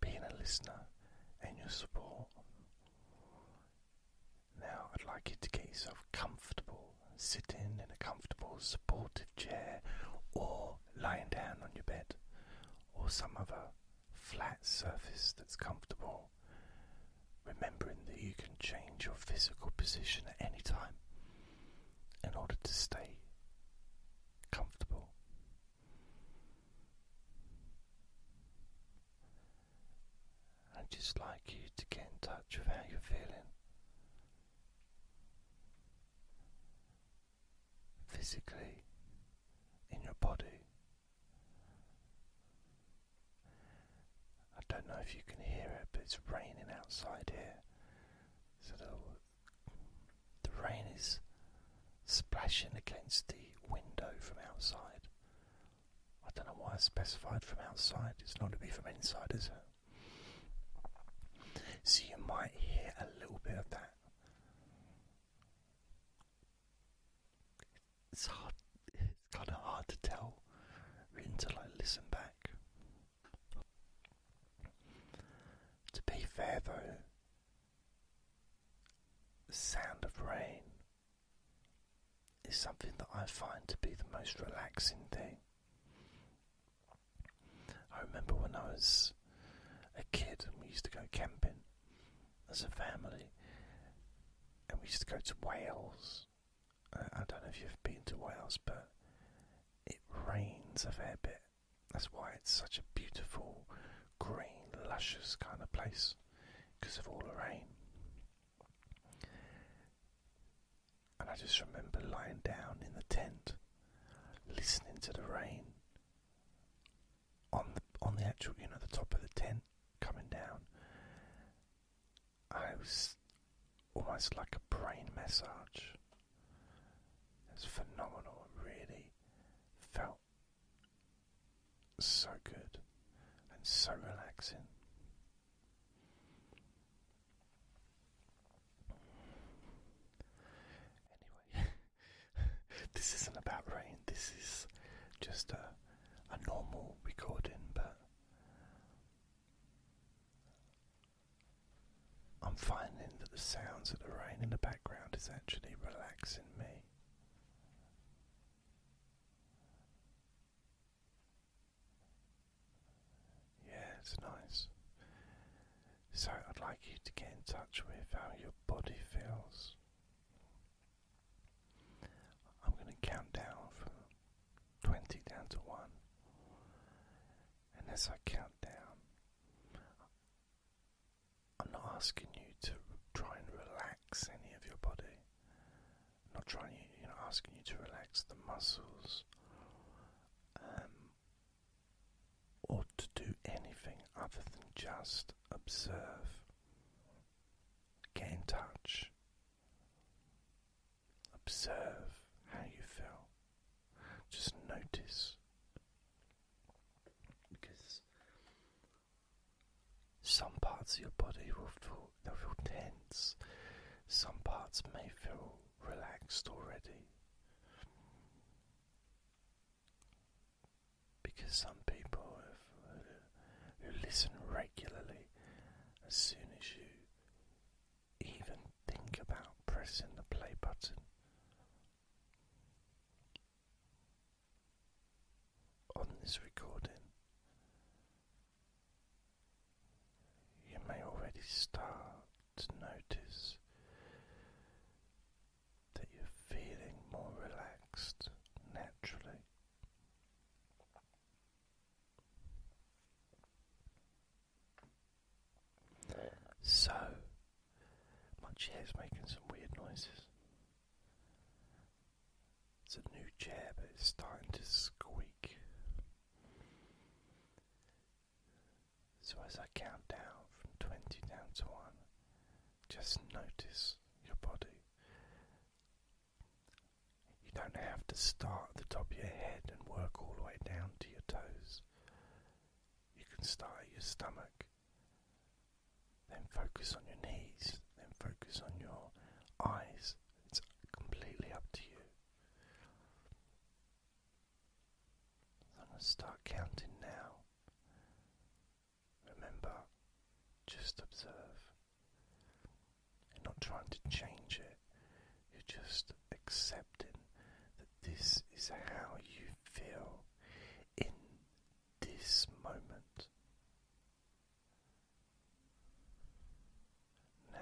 being a listener and your support. Now, I'd like you to get yourself comfortable, sitting in a comfortable, supportive chair, or lying down on your bed, or some other flat surface that's comfortable. Remembering that you can change your physical position at any time in order to stay comfortable. I'd just like you to get in touch with how you're feeling physically in your body. I don't know if you can hear it, but it's raining outside here. So the, rain is splashing against the window from outside. I don't know why I specified from outside, it's not to be from inside, is it? So you might hear a little bit of that. It's hard, it's kind of hard to tell until I listen back. To be fair though, the sound of rain is something that I find to be the most relaxing thing. I remember when I was a kid we used to go camping as a family and we used to go to Wales. I don't know if you've been to Wales, but it rains a fair bit. That's why it's such a beautiful, green, luscious kind of place because of all the rain. And I just remember lying down in the tent, listening to the rain on the on the actual you know the top of the tent coming down. I was almost like a brain massage. It's phenomenal. I really felt so good and so relaxing. Anyway, this isn't about rain, this is just a normal recording, but I'm finding that the sounds of the rain in the background is actually relaxing me. Yeah, it's nice. So, I'd like you to get in touch with how your body feels. I'm going to count down from 20 down to 1. And as I count down, I'm not asking you to try and relax any of your body. not trying you, you know, asking you to relax the muscles, um, or to do anything other than just observe. Get touch. Observe how you feel. Just notice. Because some parts of your body will feel, they'll feel tense, some parts may feel relaxed already. Because some people who listen regularly, as soon as you even think about pressing the play button, on this recording, you may already start to notice that you're feeling more relaxed naturally. So, my is making some weird noises. It's a new chair, but it's starting to squeak. So, as I count down from 20 down to 1, just notice your body. You don't have to start at the top of your head and work all the way down to your toes. You can start at your stomach then focus on your knees, then focus on your eyes. It's completely up to you. I'm going to start counting now. Remember, just observe. You're not trying to change it, you're just accepting that this is how you feel in this moment. Now,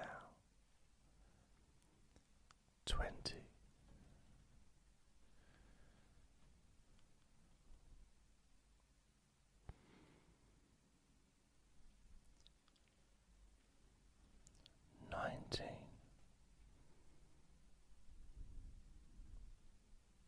twenty, nineteen,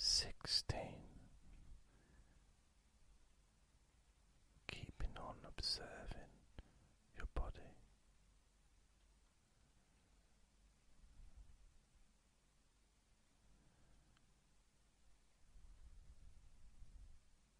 Sixteen, keeping on observing your body.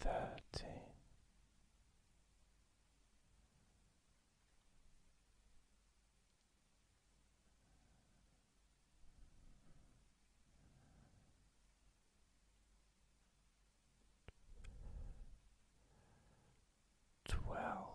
thirteen. Twelve,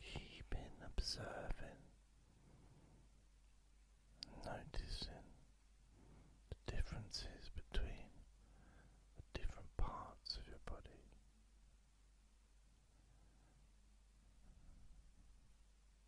Keeping observing, noticing the differences between the different parts of your body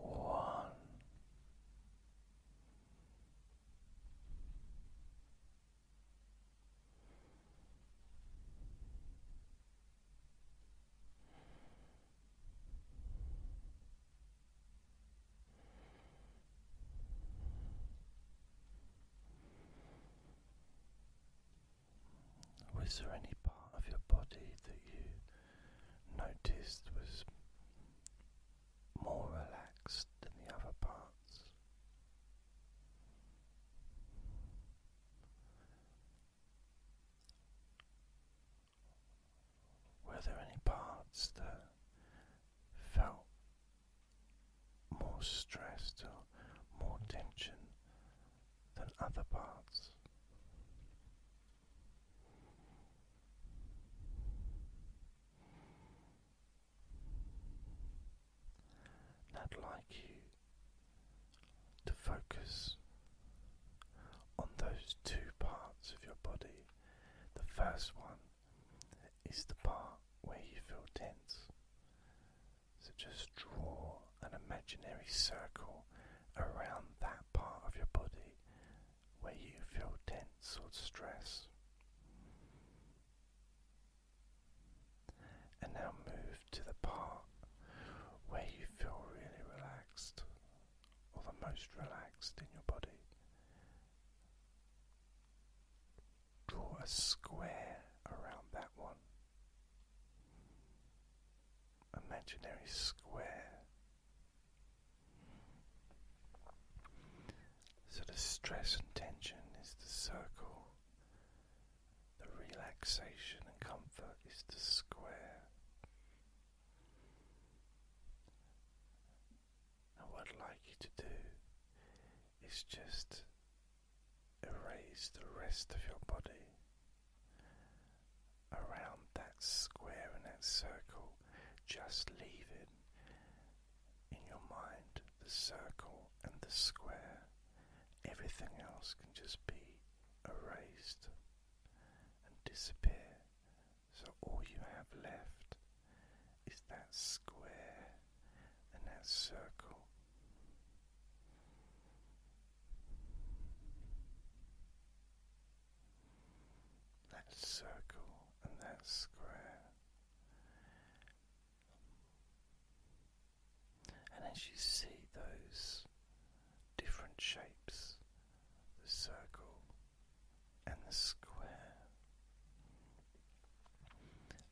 one. there any part of your body that you noticed was more relaxed than the other parts. Were there any parts that felt more stressed or more tension than other parts? And I'd like you to focus on those two parts of your body. The first one is the part where you feel tense. So just draw an imaginary circle around that part of your body where you feel tense or stress. And now move to the part where you feel really relaxed or the most relaxed in your body. Draw a square around that one. Imaginary square so the stress and tension is the circle, the relaxation and comfort is the square. And what I'd like you to do is just erase the rest of your body around that square and that circle. Just leave it in your mind the circle and the square. Everything else can just be erased and disappear. So all you have left is that square and that circle that circle and that square. And as you see those different shapes, the circle and the square,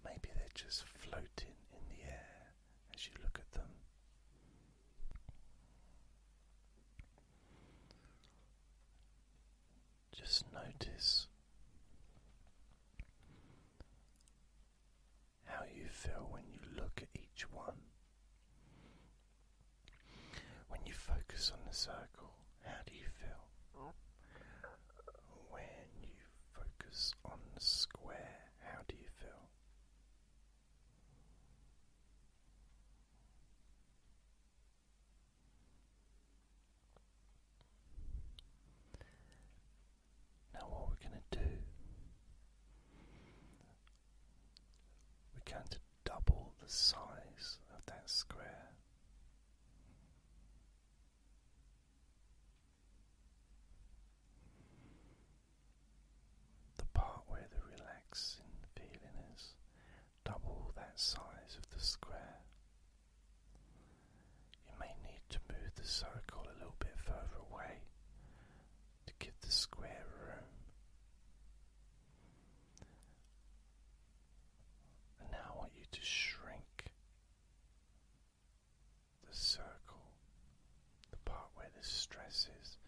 maybe they're just floating in the air as you look at them. Just notice how you feel when you look at each one. When you focus on the circle, how do you feel? When you focus on the square, how do you feel? Now, what we're going to do, we're going to double the size of that square. The part where the relaxing feeling is double that size of the square. You may need to move the circle a little bit further away to give the square room. And now want you to shrink the circle, the part the stresses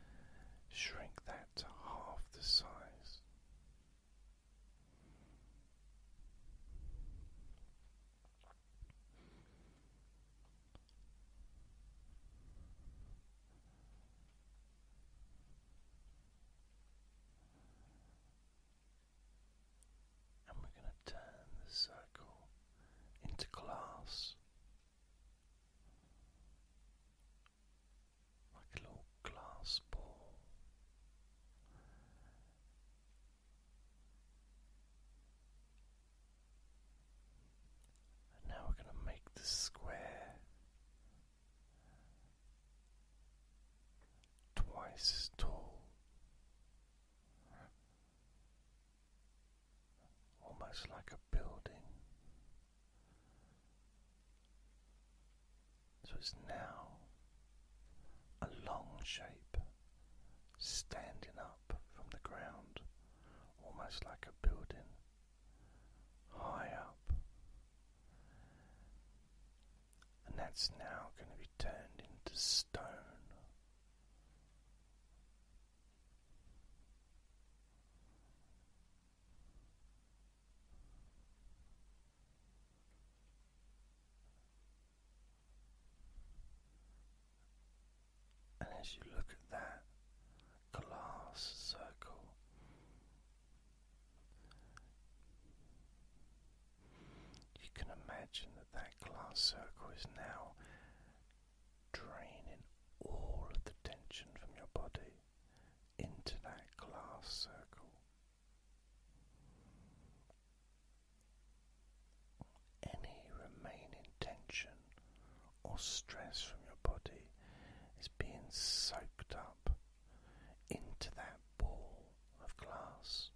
shrink that to half the size. And we're going to turn the circle into glass like a little glass ball. And now we're going to make the square twice as tall, almost like a building. So it's now a long shape standing up from the ground, almost like a building, high up. And that's now going to be turned into stone. And as you look at that glass circle, you can imagine that that glass circle is now draining all of the tension from your body into that glass circle. Any remaining tension or stress from your body is being soaked up into that ball of glass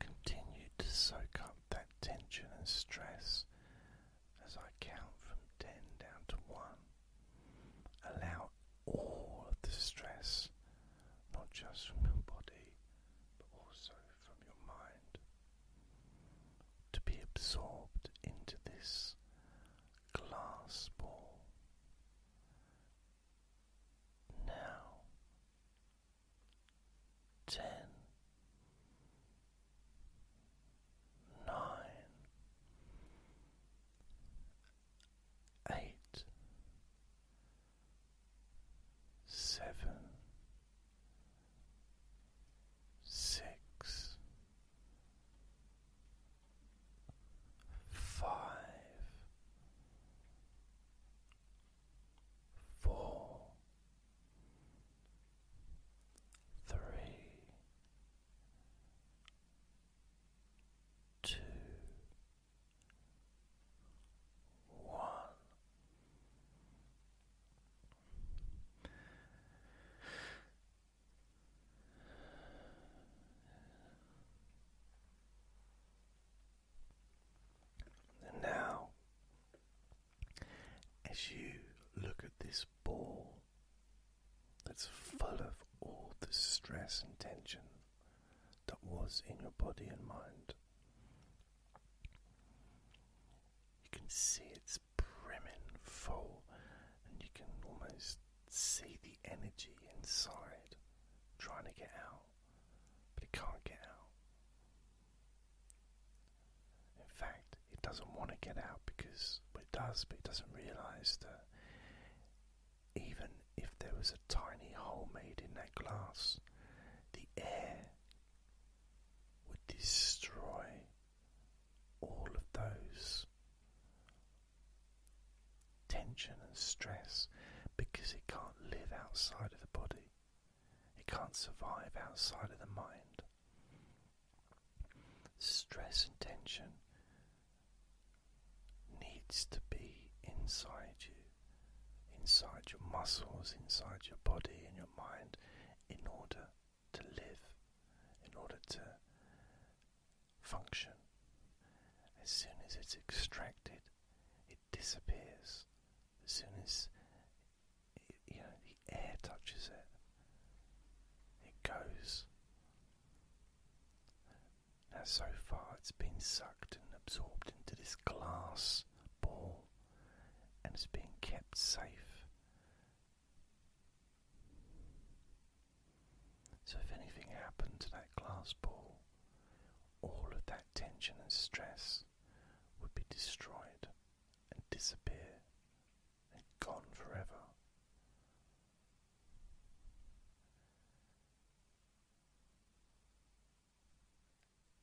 continue to soak up that tension and stress as I count from 10 down to 1. Allow all the stress, not just from your body, but also from your mind, to be absorbed into this glass ball. Now, ten, nine, eight, seven, six, five, four, three, two one. And now, as you look at this ball that's full of all the stress and tension that was in your body and mind. You can see it's brimming full, and you can almost see the energy inside trying to get out, but it can't get out. In fact, it doesn't want to get out because it does, but it doesn't realize that even if there was a tiny hole made in that glass, the air would destroy all of those tension and stress because it can't live outside of the body, it can't survive outside of the mind. Stress and tension needs to be inside you, inside your muscles, inside your body and your mind, in order to live, in order to function. As soon as it's extracted, it disappears. As soon as you know the air touches it, it goes. Now, so far, it's been sucked and absorbed into this glass ball and it's being kept safe. So, if anything happened to that glass ball, all of that tension and stress would be destroyed and disappear and gone forever.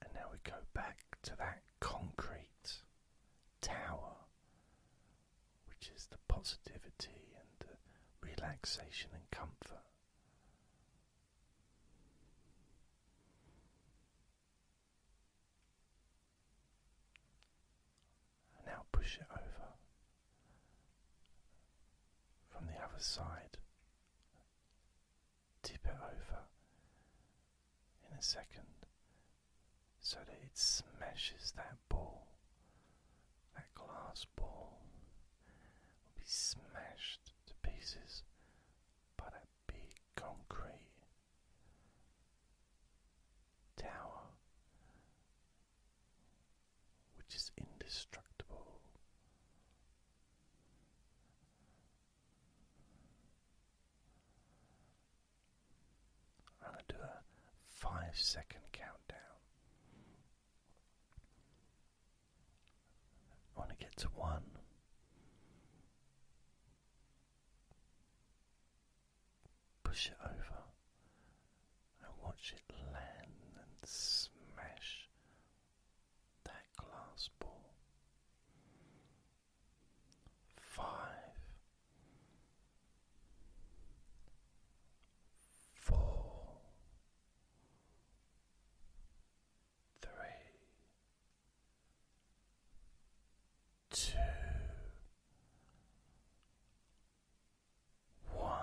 And now we go back to that concrete tower, which is the positivity and relaxation and comfort. And now push it over from the other side tip it over in a second so that it smashes that ball, that glass ball will be smashed to pieces by that big concrete tower which is indestructible. I'm going to do a five second countdown. I want to get to one. Push it over and watch it land and smash that glass ball. Five, four, three, two, one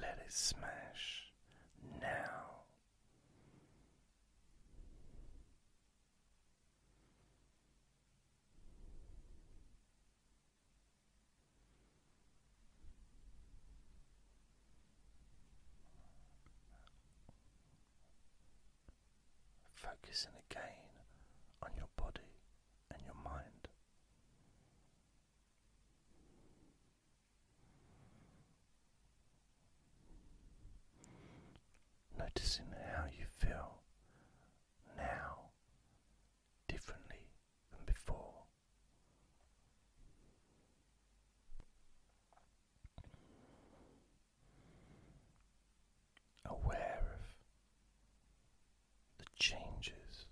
let it smash now. Focusing again on your body and your mind. Noticing how you feel now differently than before. Aware of the changes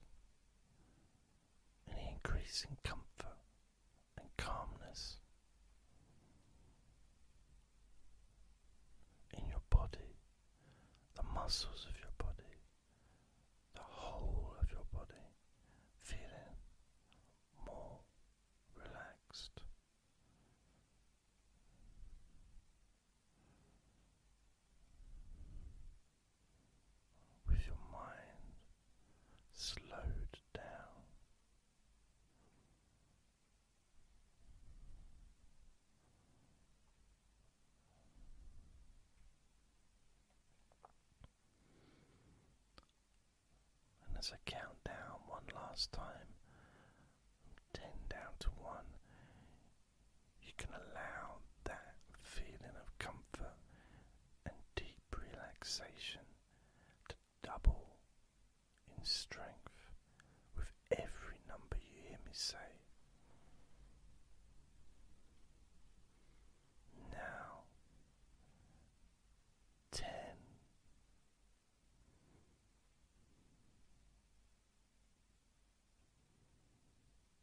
any increase in comfort and calmness in your body, the muscles of your body, the whole of your body feeling more relaxed with your mind slowed down. And as I count down one last time, ten down to one, you can allow that feeling of comfort and deep relaxation to double in strength with every number you hear me say. Now, ten